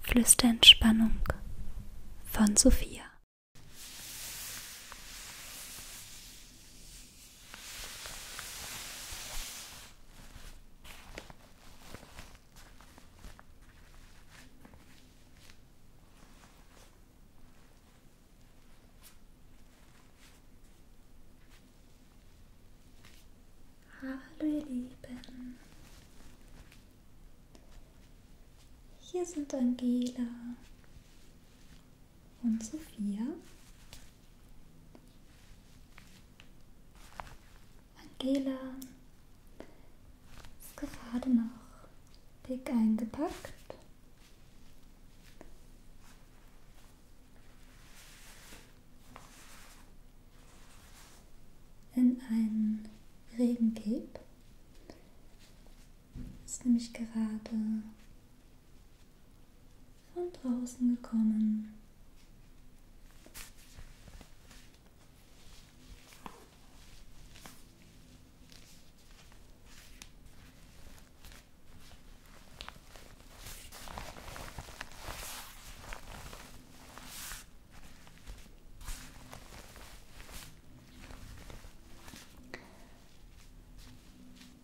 Flüsterentspannung von Sophia. Hallo ihr Lieben, hier sind Angela und Sophia. Angela ist gerade noch dick eingepackt in einen Regencape. Ist nämlich gerade von draußen gekommen.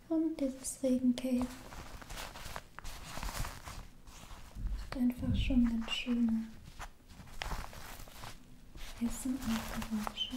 Und dieses Regencape hat einfach schon ganz schöne Essen und Geräusche.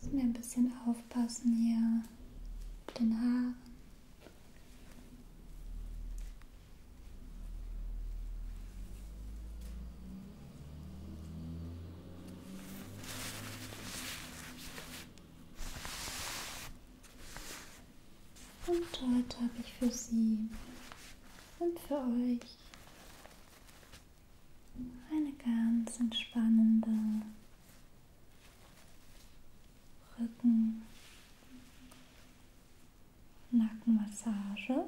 Müssen wir ein bisschen aufpassen hier mit den Haaren. Und heute habe ich für Sie und für euch eine ganz entspannende Rücken- Nackenmassage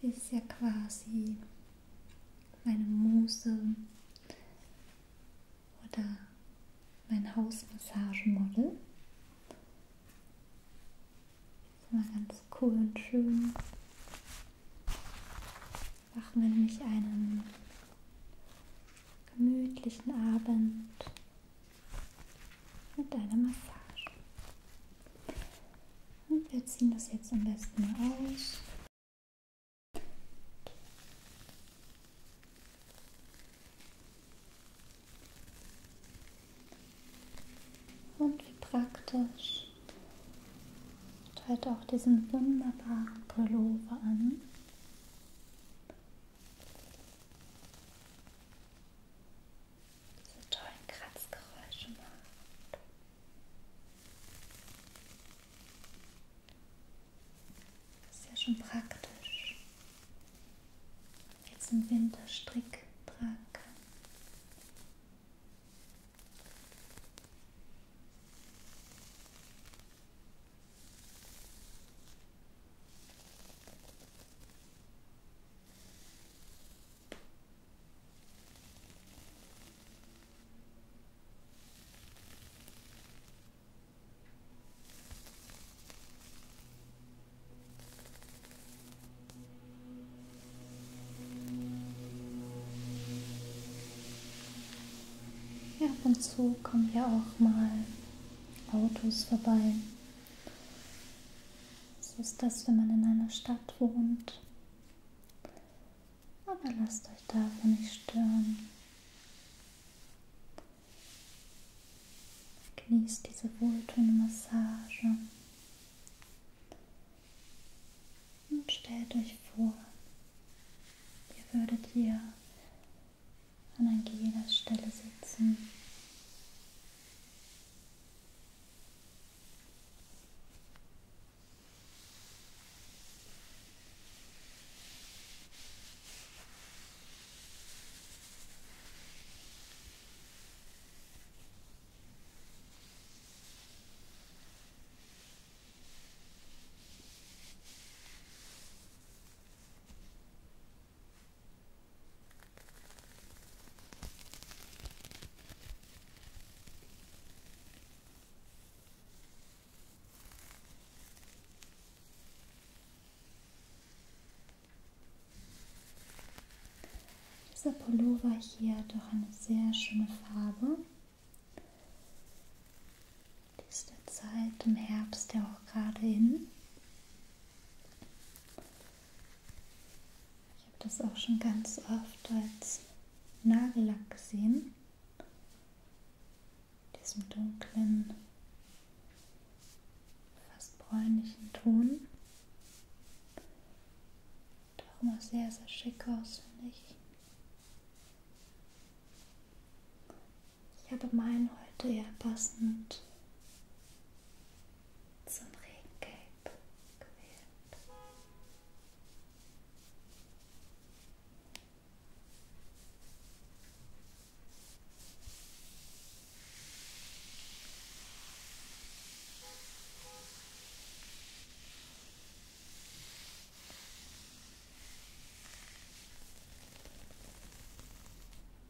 Sie ist ja quasi meine Muse oder mein Hausmassagenmodel. Ist immer ganz cool und schön. Machen wir nämlich einen gemütlichen Abend mit einer Massage. Und wir ziehen das jetzt am besten aus. Und wie praktisch teilt auch diesen wunderbaren Pullover an diese tollen Kratzgeräusche macht. Ist ja schon praktisch. Jetzt im Winter Strick tragen kann. Ja, ab und zu kommen ja auch mal Autos vorbei. So ist das, wenn man in einer Stadt wohnt. Aber lasst euch davon nicht stören. Genießt diese wohltuende Massage. Und stellt euch vor, ihr würdet hier an an jeder Stelle sitzen. Dieser Pullover hier hat doch eine sehr schöne Farbe. Diese Zeit im Herbst ja auch gerade hin. Ich habe das auch schon ganz oft als Nagellack gesehen. Diesem dunklen, fast bräunlichen Ton. Doch immer sehr, sehr schick aus, finde ich. Ich habe meinen heute ja passend zum Regencape gewählt.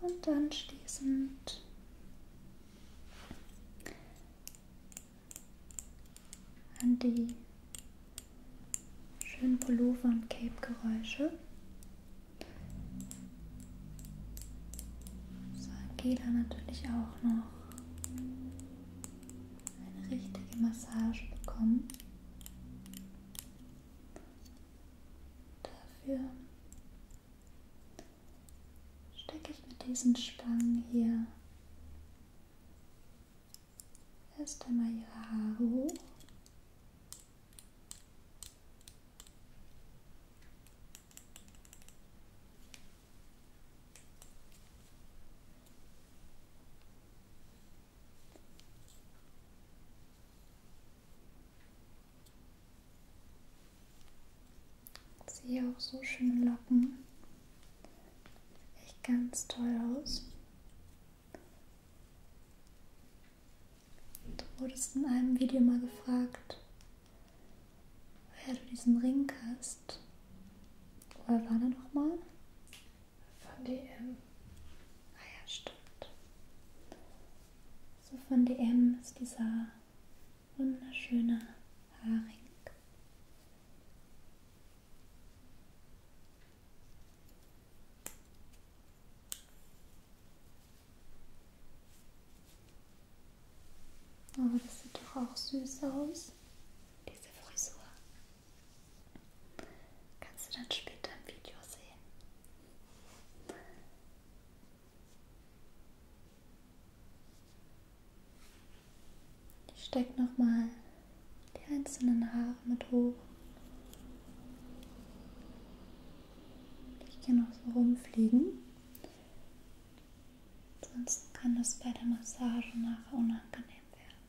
Und anschließend an die schönen Pullover und Cape-Geräusche. So, Angela natürlich auch noch eine richtige Massage bekommen. Dafür stecke ich mit diesen Spangen hier erst einmal ihre Haare hoch. Siehe auch so schöne Locken. Echt ganz toll aus. Du wurdest in einem Video mal gefragt, woher du diesen Ring hast. Woher war der nochmal? Von DM. Ah ja, stimmt. So von DM ist dieser wunderschöne Haring. Oh, das sieht doch auch süß aus, diese Frisur. Kannst du dann später im Video sehen. Ich stecke nochmal die einzelnen Haare mit hoch. Ich kann noch so rumfliegen. Sonst kann das bei der Massage nachher unangenehm werden.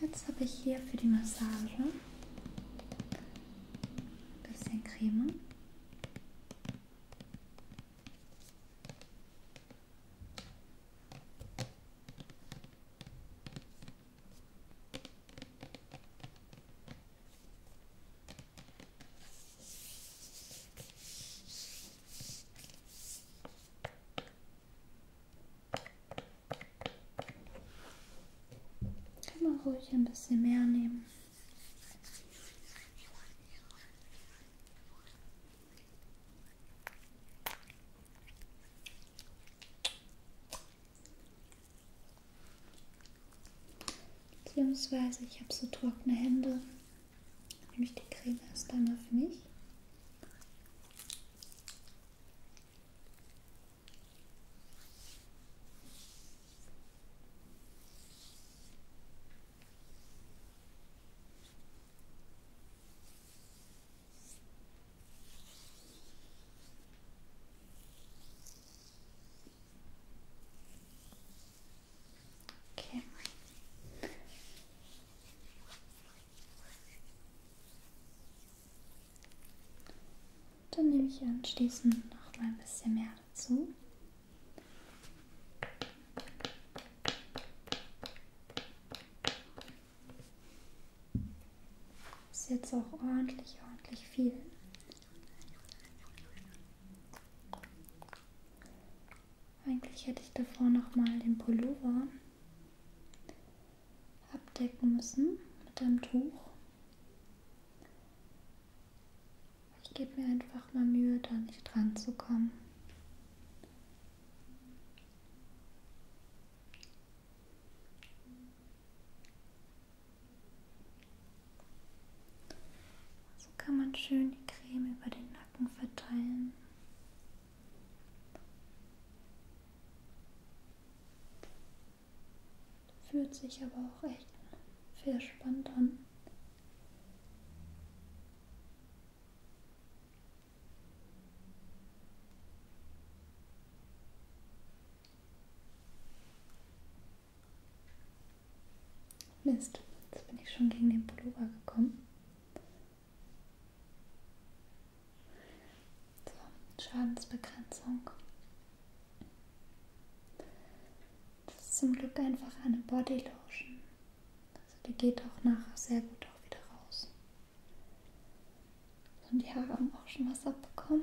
Jetzt habe ich hier für die Massage ein bisschen Creme. Kann man ruhig ein bisschen mehr nehmen. Beziehungsweise ich habe so trockene Hände. Nehme ich die Creme erst einmal für mich. Okay. Dann nehme ich anschließend noch mal ein bisschen mehr dazu. Das ist jetzt auch ordentlich, ordentlich viel. Eigentlich hätte ich davor nochmal den Pullover abdecken müssen mit einem Tuch. Ich gebe mir einfach mal Mühe, da nicht dran zu kommen. So kann man schön die Creme über den Nacken verteilen. Fühlt sich aber auch echt verspannt an. Mist, jetzt bin ich schon gegen den Pullover gekommen. So, Schadensbegrenzung. Das ist zum Glück einfach eine Body Lotion. Also die geht auch nachher sehr gut auch wieder raus. Und die Haare haben auch schon was abbekommen.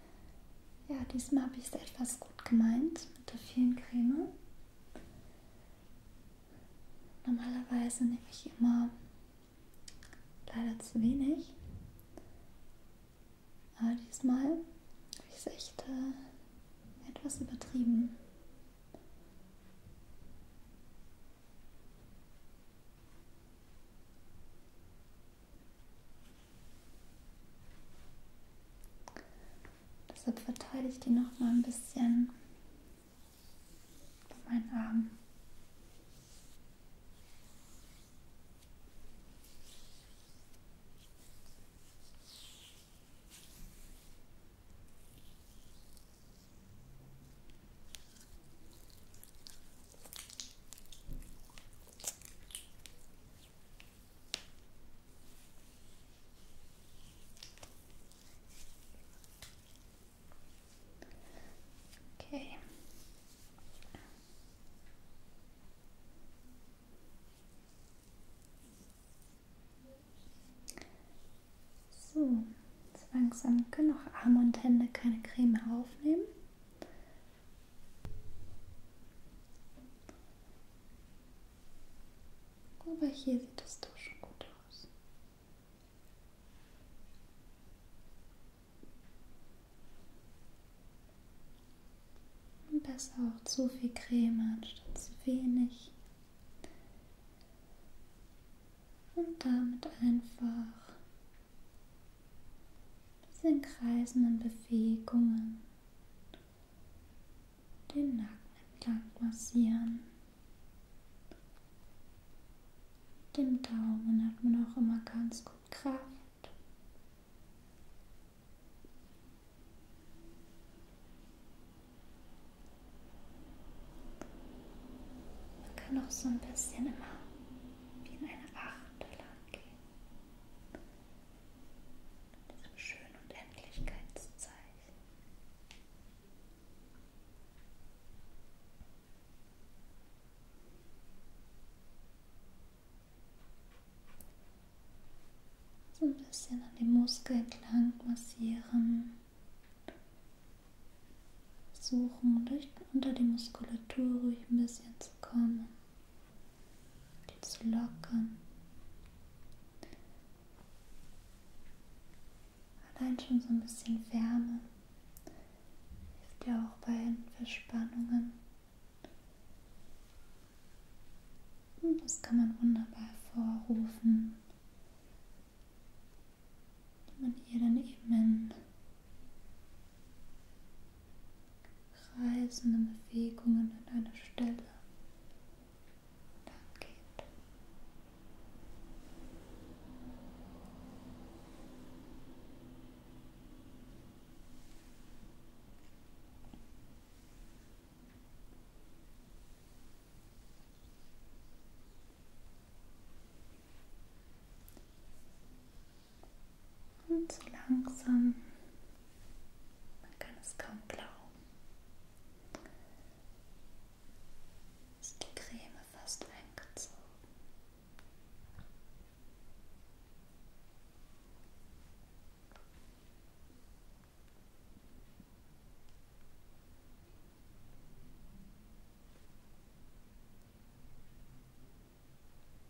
Ja, diesmal habe ich es etwas gut gemeint mit der vielen Creme. Normalerweise nehme ich immer leider zu wenig. Aber diesmal habe ich es echt äh, etwas übertrieben. Deshalb verteile ich die noch mal ein bisschen bei meinen Armen. Okay. So, jetzt langsam können auch Arme und Hände keine Creme aufnehmen. Aber hier sieht es doch schon gut aus. Besser auch zu viel Creme anstatt zu wenig. Und damit einfach in kreisenden Bewegungen den Nacken entlang massieren. Mit dem Daumen hat man auch immer ganz gut Kraft. Man kann auch so ein bisschen immer wie in eine Acht lang gehen diesem schönen Unendlichkeitszeichen. So ein bisschen an dem Muskel entlang massieren. Suchen, durch, unter die Muskulatur ruhig ein bisschen zu kommen zu lockern. Allein schon so ein bisschen Wärme hilft ja auch bei Verspannungen. Und das kann man wunderbar hervorrufen. Und hier dann eben in kreisenden Bewegungen an einer Stelle lang geht. Und so langsam, man kann es kaum glauben, ist die Creme fast eingezogen.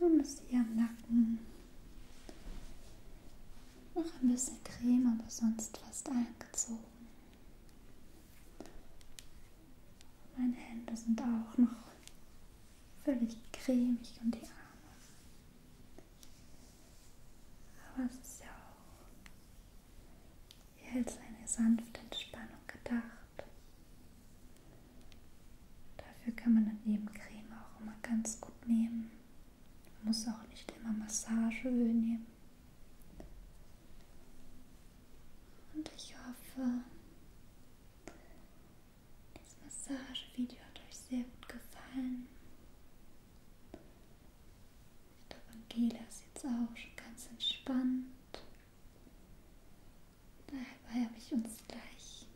Und das hier am Nacken. Noch ein bisschen Creme, aber sonst fast eingezogen. Meine Hände sind auch noch völlig cremig und die Arme. Aber es ist ja auch hier als eine sanfte Entspannung gedacht. Dafür kann man dann eben Creme auch immer ganz gut nehmen. Man muss auch nicht immer Massageöl nehmen. Und ich hoffe, das Massagevideo hat euch sehr gut gefallen. Ich glaube, Angela ist jetzt auch schon ganz entspannt. Dabei habe ich uns gleich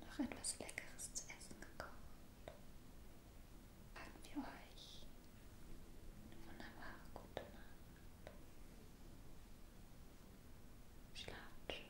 noch etwas Leckeres zu essen gekocht. Haben wir euch eine wunderbare gute Nacht. Schlaft schön.